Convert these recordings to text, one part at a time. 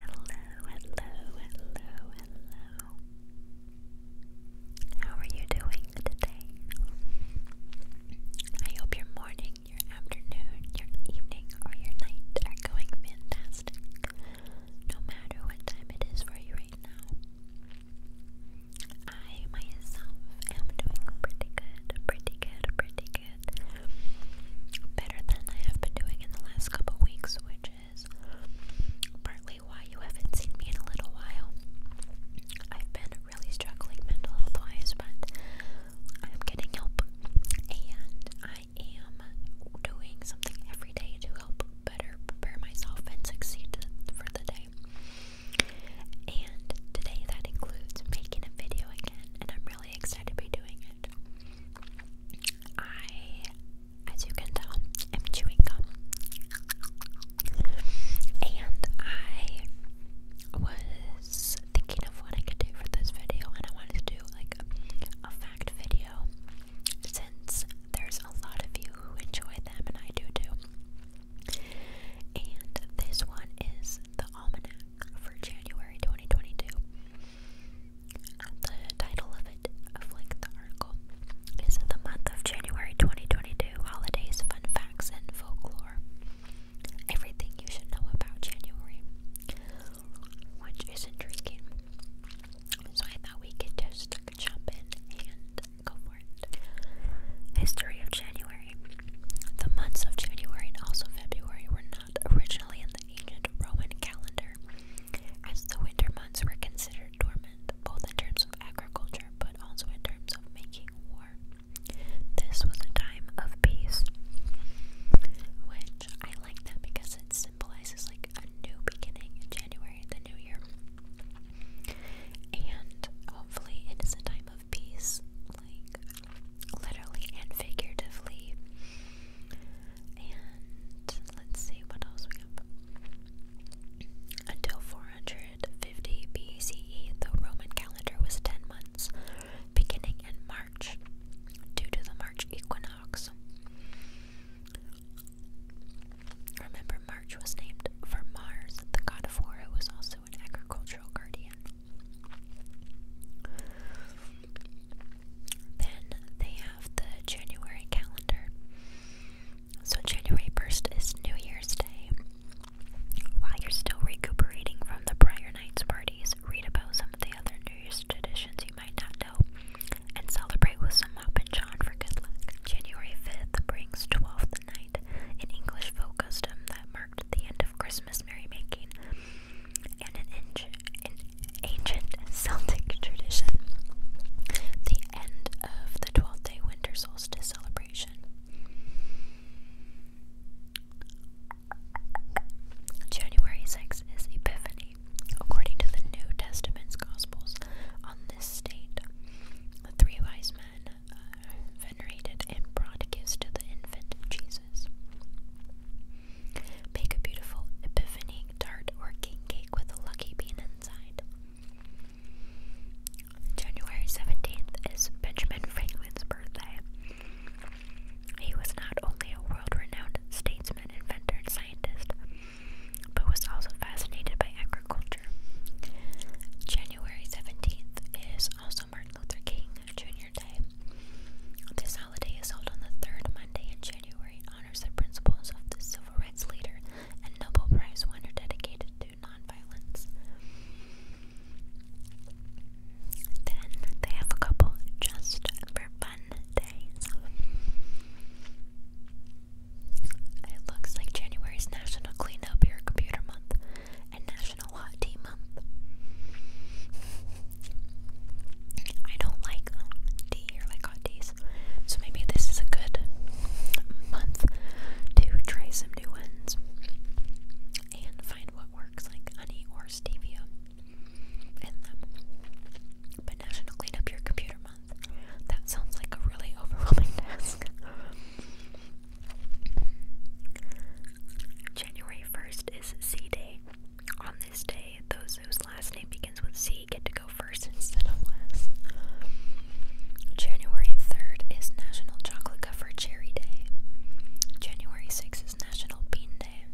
Hello, hello, hello, hello. How are you doing today? I hope your morning, your afternoon, your evening, or your night are going fantastic, no matter what time it is for you right now. I myself am doing pretty good, pretty good, pretty good better than I have been doing in the last couple weeks, which is partly why you haven't seen me in a little while. I've been really struggling mental health wise, but I'm getting help and I am doing something every day to help better prepare myself and succeed for the day. And today that includes making a video again, and I'm really excited to be doing it. I, as you can tell, am chewing gum. And I was thinking of what I could do for this video, and I wanted to do like a, a fact video since there's a lot of you who enjoy them, and I do too. And this one is the almanac for January 2022 the title of it, of like article, is The Month of January 2022 Holidays, Fun Facts, and Folklore. Everything you should know about January, which is intriguing. So I thought we could just jump in and go for it. History of January. The months of January and also February were not originally in the ancient Roman calendar, as the winter months were considered dormant, both in terms of agriculture but also in terms of making war. This was a time of peace, which I like that because it symbolizes like a new beginning in January, the new year. And hopefully, it is a time of peace, like literally and figuratively. And let's see what else we have. Until 450 BCE, the Roman calendar was 10 months, beginning in March due to the March equinox. Remember, March was named for Mars, the god of war, who was also an agricultural guardian. Then they have the January calendar. So, January 1st is New Year's Day. While you're still recuperating from the prior night's parties, read about some of the other New Year's traditions you might not know and celebrate with some Mop and John for good luck. January 5th brings 12th night, an English folk custom that marked the end of Christmas. Christmas merrymaking and an, an ancient Celtic tradition, the end of the 12th day winter solstice celebration. January 6th is Epiphany, according to the New Testament's Gospels. On this date, the three wise men venerated and brought gifts to the infant Jesus. Bake a beautiful epiphany tart or king cake with a lucky bean inside. January 17th is Benjamin Franklin's birthday. He was not only a world renowned statesman, inventor, and scientist, but was also fascinated by agriculture. January 17th is also marked Luther King Jr. Day. This holiday is held on the third Monday in January. It honors the principles of the civil rights leader and Nobel Prize winner dedicated to nonviolence. Then they have a couple just for fun days. It looks like January's National Clean Up Your Computer Month and National Hot Tea Month. I don't like tea or like hot teas, so maybe this is a good month to try some new ones and find what works, like honey or stevia in them. But National Clean Up Your Computer Month. That sounds like a really overwhelming task. January 1st is C Day. On this day, those whose last name begins with C get to go first instead of last. January 3rd is National Chocolate Covered Cherry Day. January 6th is National Bean Day.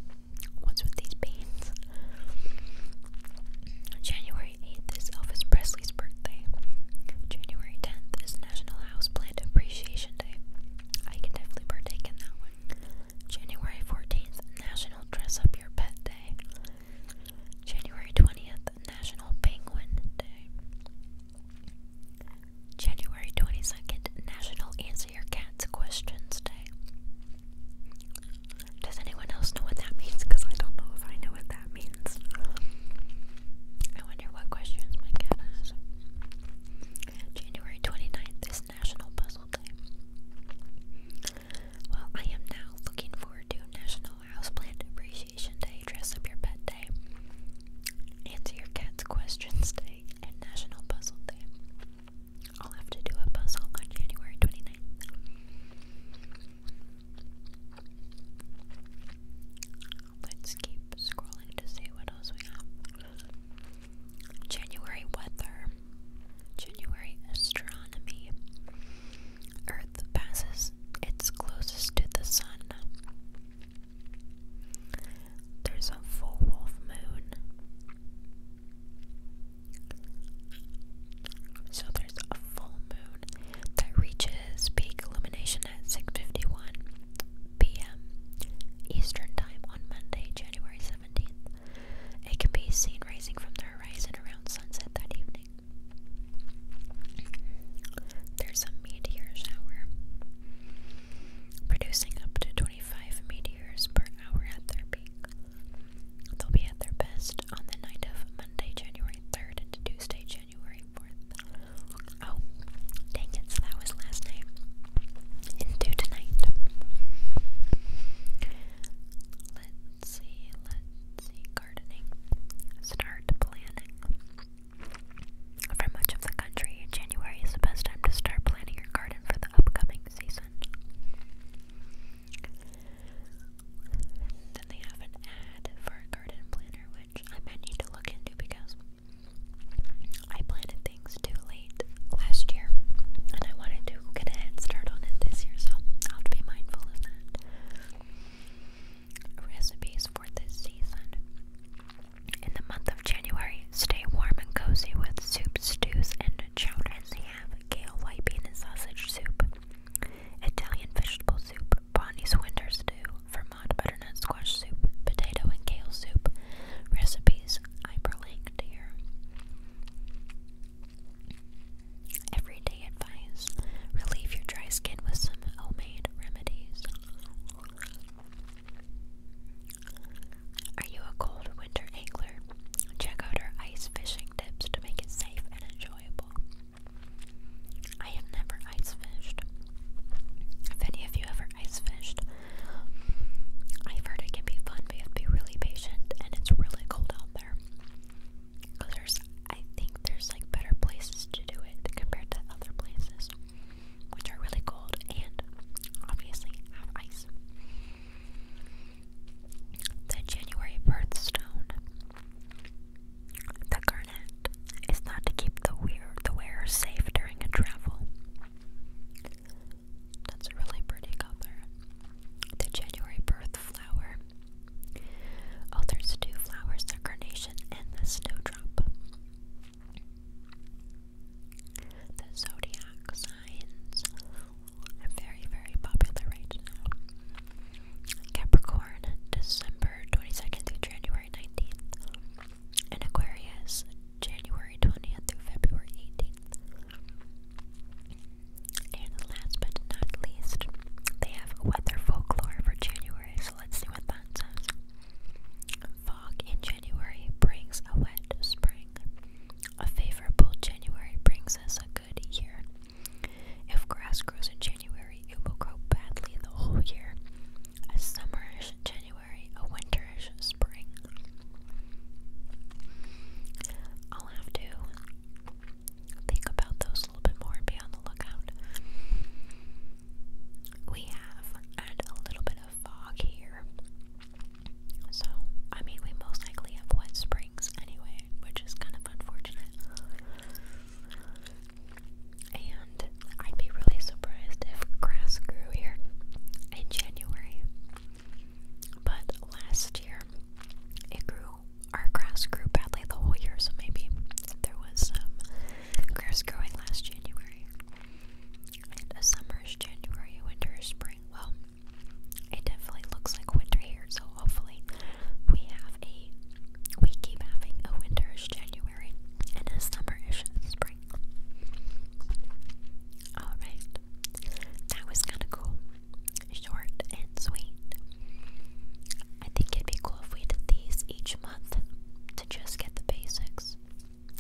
What's with these beans? January 8th is Elvis Presley birthday. January 10th is National House Plant Appreciation Day. I can definitely partake in that one. January 14th, National Dress Up Your Pet Day. January 20th, National Penguin Day. January 22nd, National Answer Your Cat's Questions Day. Does anyone else know what that means? Because I don't know if I know what that means. I wonder what questions my cat has. January 29th is National Puzzle Day. Well, I am now looking forward to National Houseplant Appreciation Day, Dress Up Your Pet Day, Answer Your Cat's Questions Day, and National Puzzle Day. I'll have to do a puzzle on January 29th. Let's keep scrolling to see what else we have. January weather, January astronomy. Earth passes its closest to the sun. There's a full wolf moon. So there's a full moon that reaches peak illumination at 6:51 p.m. Eastern Time on Monday, January 17th. It can be seen rising from the horizon around sunset that evening. There's a meteor shower, producing up to 25 meteors per hour at their peak. They'll be at their best on the night of Monday, January 3rd to Tuesday, January 4th. Oh, dang it, so that was last night. Into tonight. Let's see, let's see, gardening. Start planning. For much of the country, January is the best time to start planning your garden for the upcoming season. Then they have an ad for a garden planner, which I might need to look into because I planted things too late last year and I wanted to get a head on it this year, so I'll have to be mindful of that. Recipes for this season. In the month of January, stay warm and cozy with soup, stews, and chowder. And they have kale, white bean, and sausage soup. Italian vegetable soup, Bonnie's winter stew, Vermont butternut squash soup, potato and kale soup. Recipes hyperlinked here. Everyday advice: relieve your dry skin with some homemade remedies. Are you a cold winter angler? Check out our ice fishing tips to make it safe and enjoyable. I have never ice fished. If any of you ever ice fished, I've heard it can be fun, but you have be really patient, and it's really cold out there. Cause there's, I think there's like better places to do it compared to other places, which are really cold and obviously have ice. The January birthstone. The garnet is not to keep the wearer, safe during a travel. That's a really pretty color. The January birth flower. Oh, there's two flowers, the carnation and the snowdrop. The zodiac signs very, very popular right Capricorn, December 22nd through January 19th. And Aquarius, January 20th through February 18th. And last but not least, they have weather folklore for January, so let's see what that says. Fog in January brings a wet spring. A favorable January brings us a good year. If grass grows in January, it will grow badly the whole year. A summerish January, a winterish spring. I'll have to think about those a little bit more and be on the lookout. We have, a little bit of fog here. So, I mean, we most likely have wet springs anyway, which is kind of unfortunate. And I'd be really surprised if grass grew here in January. But last year, it grew, our grass grew badly the whole year, so maybe there was some grass growing last January. And a summer is January, a winter is spring. Well, it definitely looks like winter here, so hopefully we have a we keep having a winterish January and a summerish spring. Alright. That was kinda cool. Short and sweet. I think it'd be cool if we did these each month to just get the basics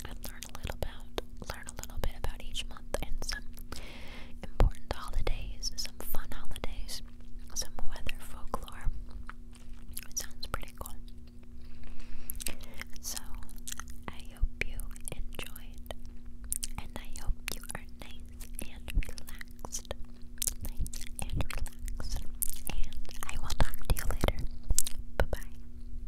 and learn a little about learn a little bit about each month and some important holidays, some fun holidays, some weather folklore. It sounds pretty cool. So I hope you enjoyed and I hope you are nice and relaxed. Nice and relaxed. And I will talk to you later. Bye bye.